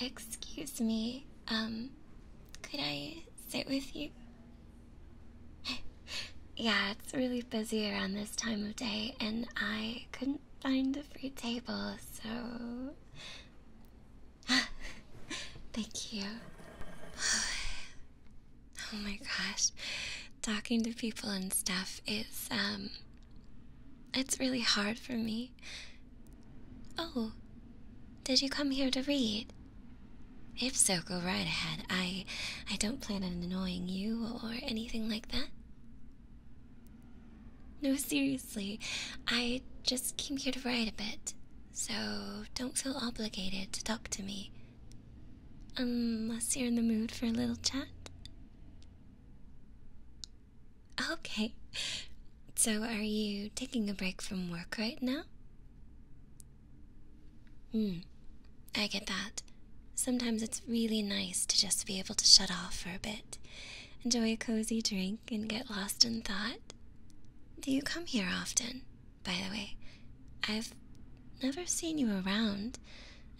Excuse me, um, could I sit with you? yeah, it's really busy around this time of day, and I couldn't find a free table, so. Thank you. Oh my gosh, talking to people and stuff is, um, it's really hard for me. Oh, did you come here to read? If so, go right ahead. I I don't plan on annoying you or anything like that. No, seriously. I just came here to write a bit. So don't feel obligated to talk to me. Um, unless you're in the mood for a little chat. Okay. So, are you taking a break from work right now? Hmm. I get that. Sometimes it's really nice to just be able to shut off for a bit, enjoy a cozy drink, and get lost in thought. Do you come here often, by the way? I've never seen you around,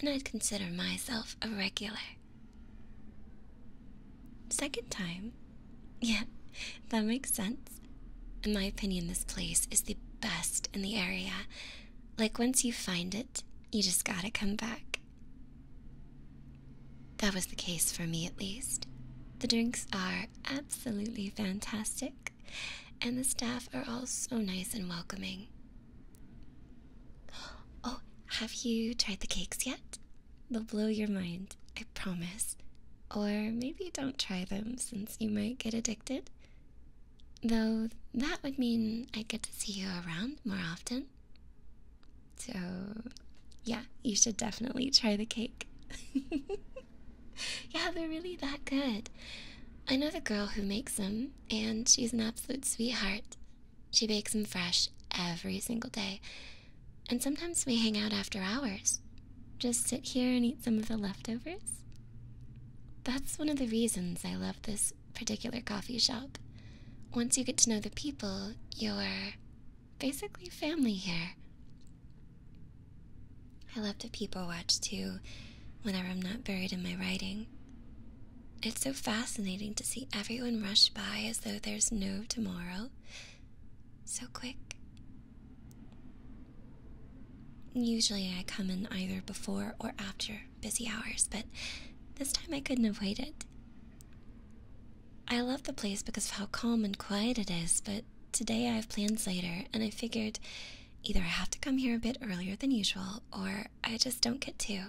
and I'd consider myself a regular. Second time? Yeah, that makes sense. In my opinion, this place is the best in the area. Like, once you find it, you just gotta come back. That was the case for me, at least. The drinks are absolutely fantastic, and the staff are all so nice and welcoming. Oh, have you tried the cakes yet? They'll blow your mind, I promise. Or maybe don't try them since you might get addicted. Though that would mean I'd get to see you around more often. So, yeah, you should definitely try the cake. yeah, they're really that good. I know the girl who makes them, and she's an absolute sweetheart. She bakes them fresh every single day, and sometimes we hang out after hours. Just sit here and eat some of the leftovers. That's one of the reasons I love this particular coffee shop. Once you get to know the people, you're basically family here. I love to people watch too whenever I'm not buried in my writing. It's so fascinating to see everyone rush by as though there's no tomorrow. So quick. Usually I come in either before or after busy hours, but this time I couldn't have waited. I love the place because of how calm and quiet it is, but today I have plans later, and I figured either I have to come here a bit earlier than usual or I just don't get to.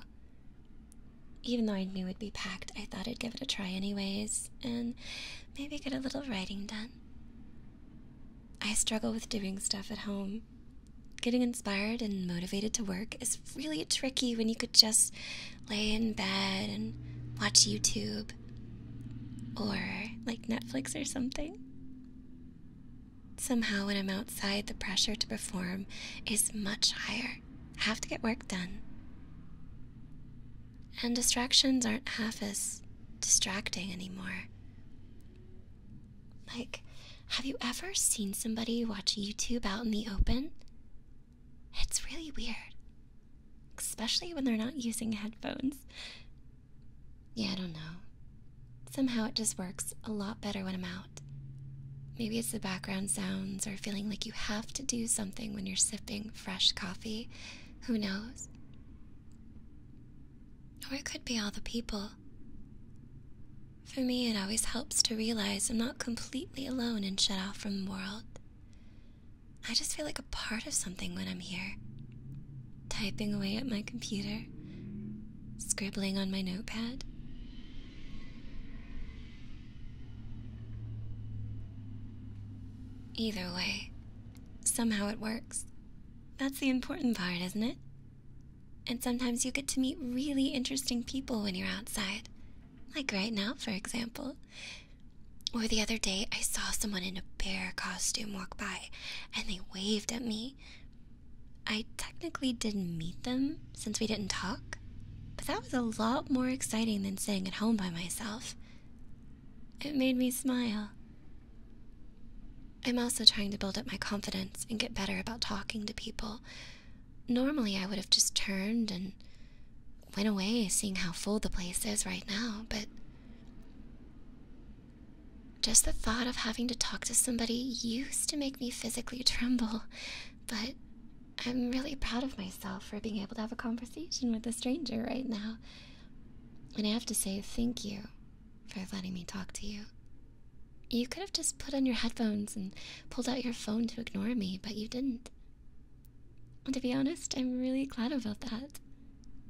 Even though I knew it'd be packed, I thought I'd give it a try anyways, and maybe get a little writing done. I struggle with doing stuff at home. Getting inspired and motivated to work is really tricky when you could just lay in bed and watch YouTube or like Netflix or something. Somehow, when I'm outside, the pressure to perform is much higher have to get work done. And distractions aren't half as distracting anymore. Like, have you ever seen somebody watch YouTube out in the open? It's really weird, especially when they're not using headphones. Yeah, I don't know. Somehow it just works a lot better when I'm out. Maybe it's the background sounds or feeling like you have to do something when you're sipping fresh coffee. Who knows? Or it could be all the people. For me, it always helps to realize I'm not completely alone and shut off from the world. I just feel like a part of something when I'm here. Typing away at my computer, scribbling on my notepad, Either way, somehow it works. That's the important part, isn't it? And sometimes you get to meet really interesting people when you're outside. Like right now, for example. Or the other day, I saw someone in a bear costume walk by and they waved at me. I technically didn't meet them, since we didn't talk, but that was a lot more exciting than sitting at home by myself. It made me smile. I'm also trying to build up my confidence and get better about talking to people. Normally, I would have just turned and went away, seeing how full the place is right now, but just the thought of having to talk to somebody used to make me physically tremble, but I'm really proud of myself for being able to have a conversation with a stranger right now. And I have to say thank you for letting me talk to you. You could have just put on your headphones and pulled out your phone to ignore me, but you didn't. And to be honest, I'm really glad about that.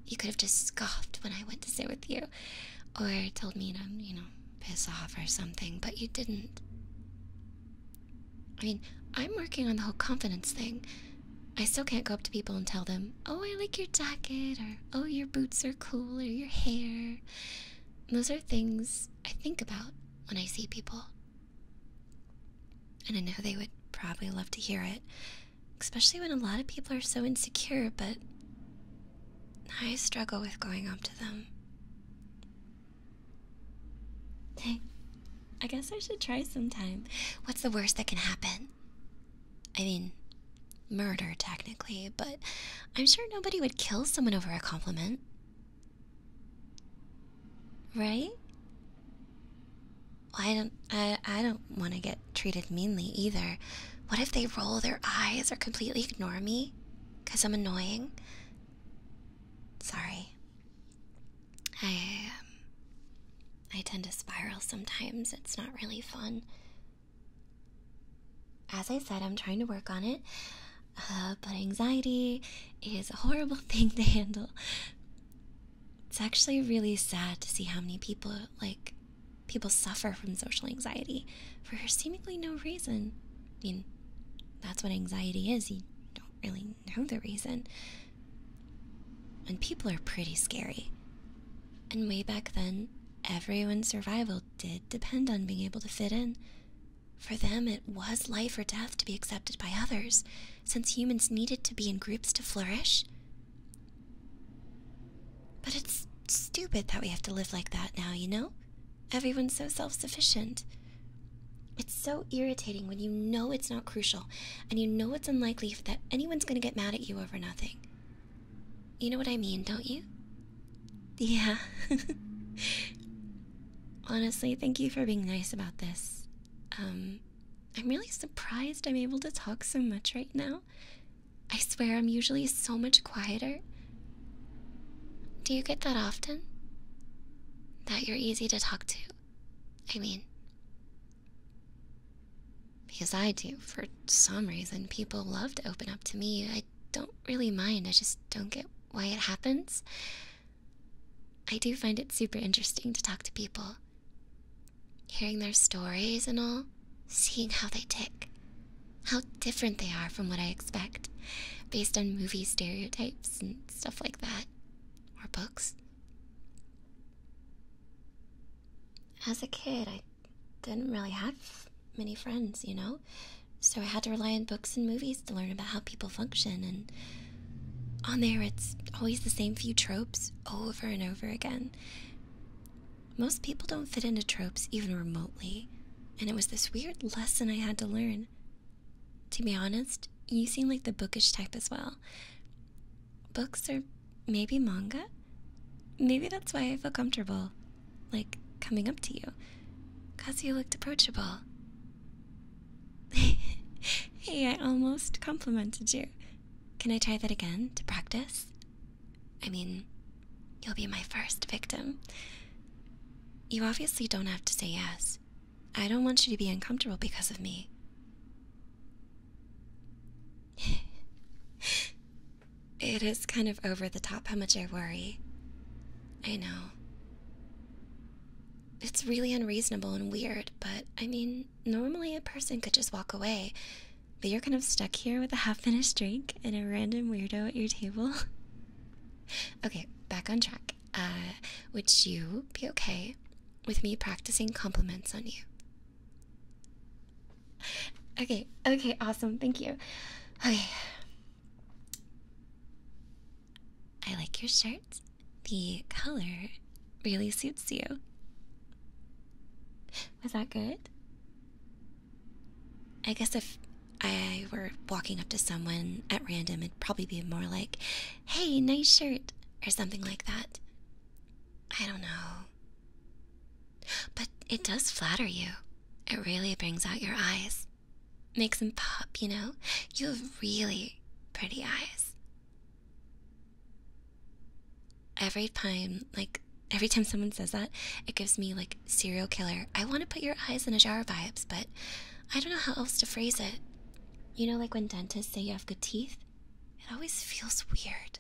You could have just scoffed when I went to sit with you, or told me to, you know, piss off or something, but you didn't. I mean, I'm working on the whole confidence thing. I still can't go up to people and tell them, oh, I like your jacket, or oh, your boots are cool, or your hair. Those are things I think about when I see people. And I know they would probably love to hear it, especially when a lot of people are so insecure, but I struggle with going up to them. Hey, I guess I should try sometime. What's the worst that can happen? I mean, murder technically, but I'm sure nobody would kill someone over a compliment. Right? Well, I don't I I don't want to get treated meanly either. What if they roll their eyes or completely ignore me cuz I'm annoying? Sorry. I um, I tend to spiral sometimes. It's not really fun. As I said, I'm trying to work on it, uh, but anxiety is a horrible thing to handle. It's actually really sad to see how many people like people suffer from social anxiety for seemingly no reason. I mean, that's what anxiety is. You don't really know the reason. And people are pretty scary. And way back then, everyone's survival did depend on being able to fit in. For them, it was life or death to be accepted by others, since humans needed to be in groups to flourish. But it's stupid that we have to live like that now, you know? Everyone's so self sufficient. It's so irritating when you know it's not crucial and you know it's unlikely that anyone's going to get mad at you over nothing. You know what I mean, don't you? Yeah. Honestly, thank you for being nice about this. Um, I'm really surprised I'm able to talk so much right now. I swear I'm usually so much quieter do you get that often? That you're easy to talk to? I mean, because I do. For some reason, people love to open up to me. I don't really mind, I just don't get why it happens. I do find it super interesting to talk to people. Hearing their stories and all, seeing how they tick, how different they are from what I expect, based on movie stereotypes and stuff like that, or books. As a kid, I didn't really have many friends, you know? So I had to rely on books and movies to learn about how people function, and on there it's always the same few tropes over and over again. Most people don't fit into tropes even remotely, and it was this weird lesson I had to learn to be honest, you seem like the bookish type as well. Books or maybe manga? Maybe that's why I feel comfortable, like coming up to you. Kazuya looked approachable. hey, I almost complimented you. Can I try that again to practice? I mean, you'll be my first victim. You obviously don't have to say yes. I don't want you to be uncomfortable because of me. it is kind of over the top how much I worry. I know. It's really unreasonable and weird, but I mean, normally a person could just walk away, but you're kind of stuck here with a half finished drink and a random weirdo at your table. okay, back on track. Uh, would you be okay with me practicing compliments on you? Okay, okay, awesome, thank you. Okay. I like your shirt. The color really suits you. Was that good? I guess if I I were walking up to someone at random, it'd probably be more like, hey, nice shirt, or something like that. I don't know. But it does flatter you. It really brings out your eyes. Makes them pop, you know? You have really pretty eyes. Every time, like, every time someone says that, it gives me, like, serial killer. I want to put your eyes in a jar of vibes, but I don't know how else to phrase it. You know, like when dentists say you have good teeth? It always feels weird.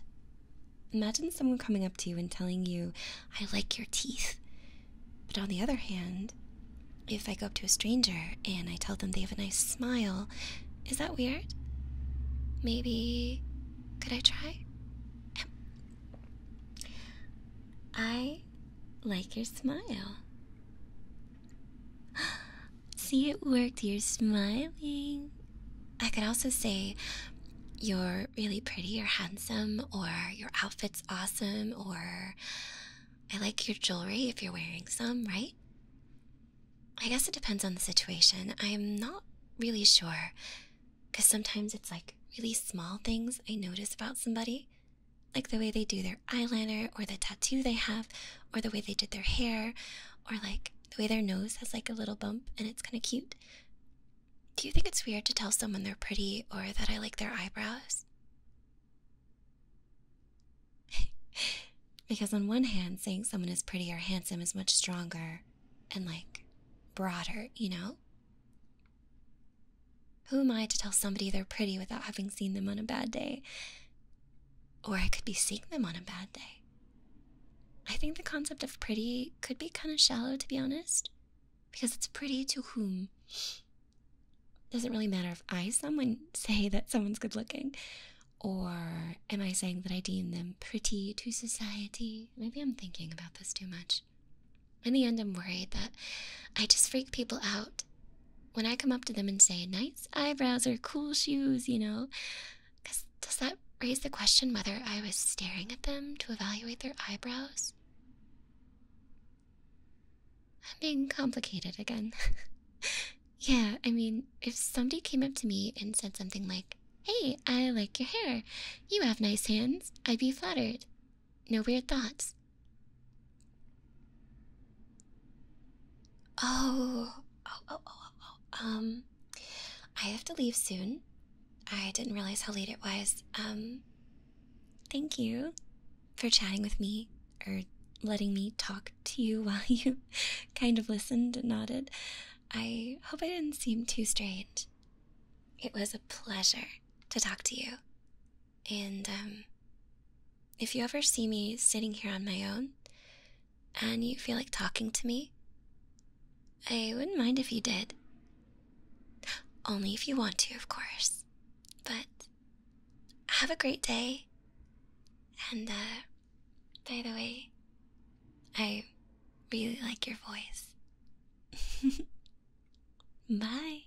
Imagine someone coming up to you and telling you, I like your teeth. But on the other hand, if I go up to a stranger and I tell them they have a nice smile, is that weird? Maybe. Could I try? I like your smile. See, it worked. You're smiling. I could also say you're really pretty or handsome, or your outfit's awesome, or I like your jewelry if you're wearing some, right? I guess it depends on the situation. I'm not really sure. Because sometimes it's like really small things I notice about somebody, like the way they do their eyeliner or the tattoo they have or the way they did their hair or like the way their nose has like a little bump and it's kind of cute. Do you think it's weird to tell someone they're pretty or that I like their eyebrows? because on one hand, saying someone is pretty or handsome is much stronger and like broader, you know? Who am I to tell somebody they're pretty without having seen them on a bad day? Or I could be seeing them on a bad day. I think the concept of pretty could be kind of shallow, to be honest, because it's pretty to whom? Doesn't really matter if I, someone, say that someone's good looking, or am I saying that I deem them pretty to society? Maybe I'm thinking about this too much. In the end, I'm worried that I just freak people out when I come up to them and say, nice eyebrows or cool shoes, you know, does that raise the question whether I was staring at them to evaluate their eyebrows? I'm being complicated again. yeah, I mean, if somebody came up to me and said something like, Hey, I like your hair. You have nice hands. I'd be flattered. No weird thoughts. Oh, oh, oh, oh, oh. Um, I have to leave soon. I didn't realize how late it was. Um, thank you for chatting with me or letting me talk to you while you kind of listened and nodded. I hope I didn't seem too strange. It was a pleasure to talk to you. And, um, if you ever see me sitting here on my own and you feel like talking to me, I wouldn't mind if you did. Only if you want to, of course. But have a great day. And, uh, by the way, I really like your voice. Bye.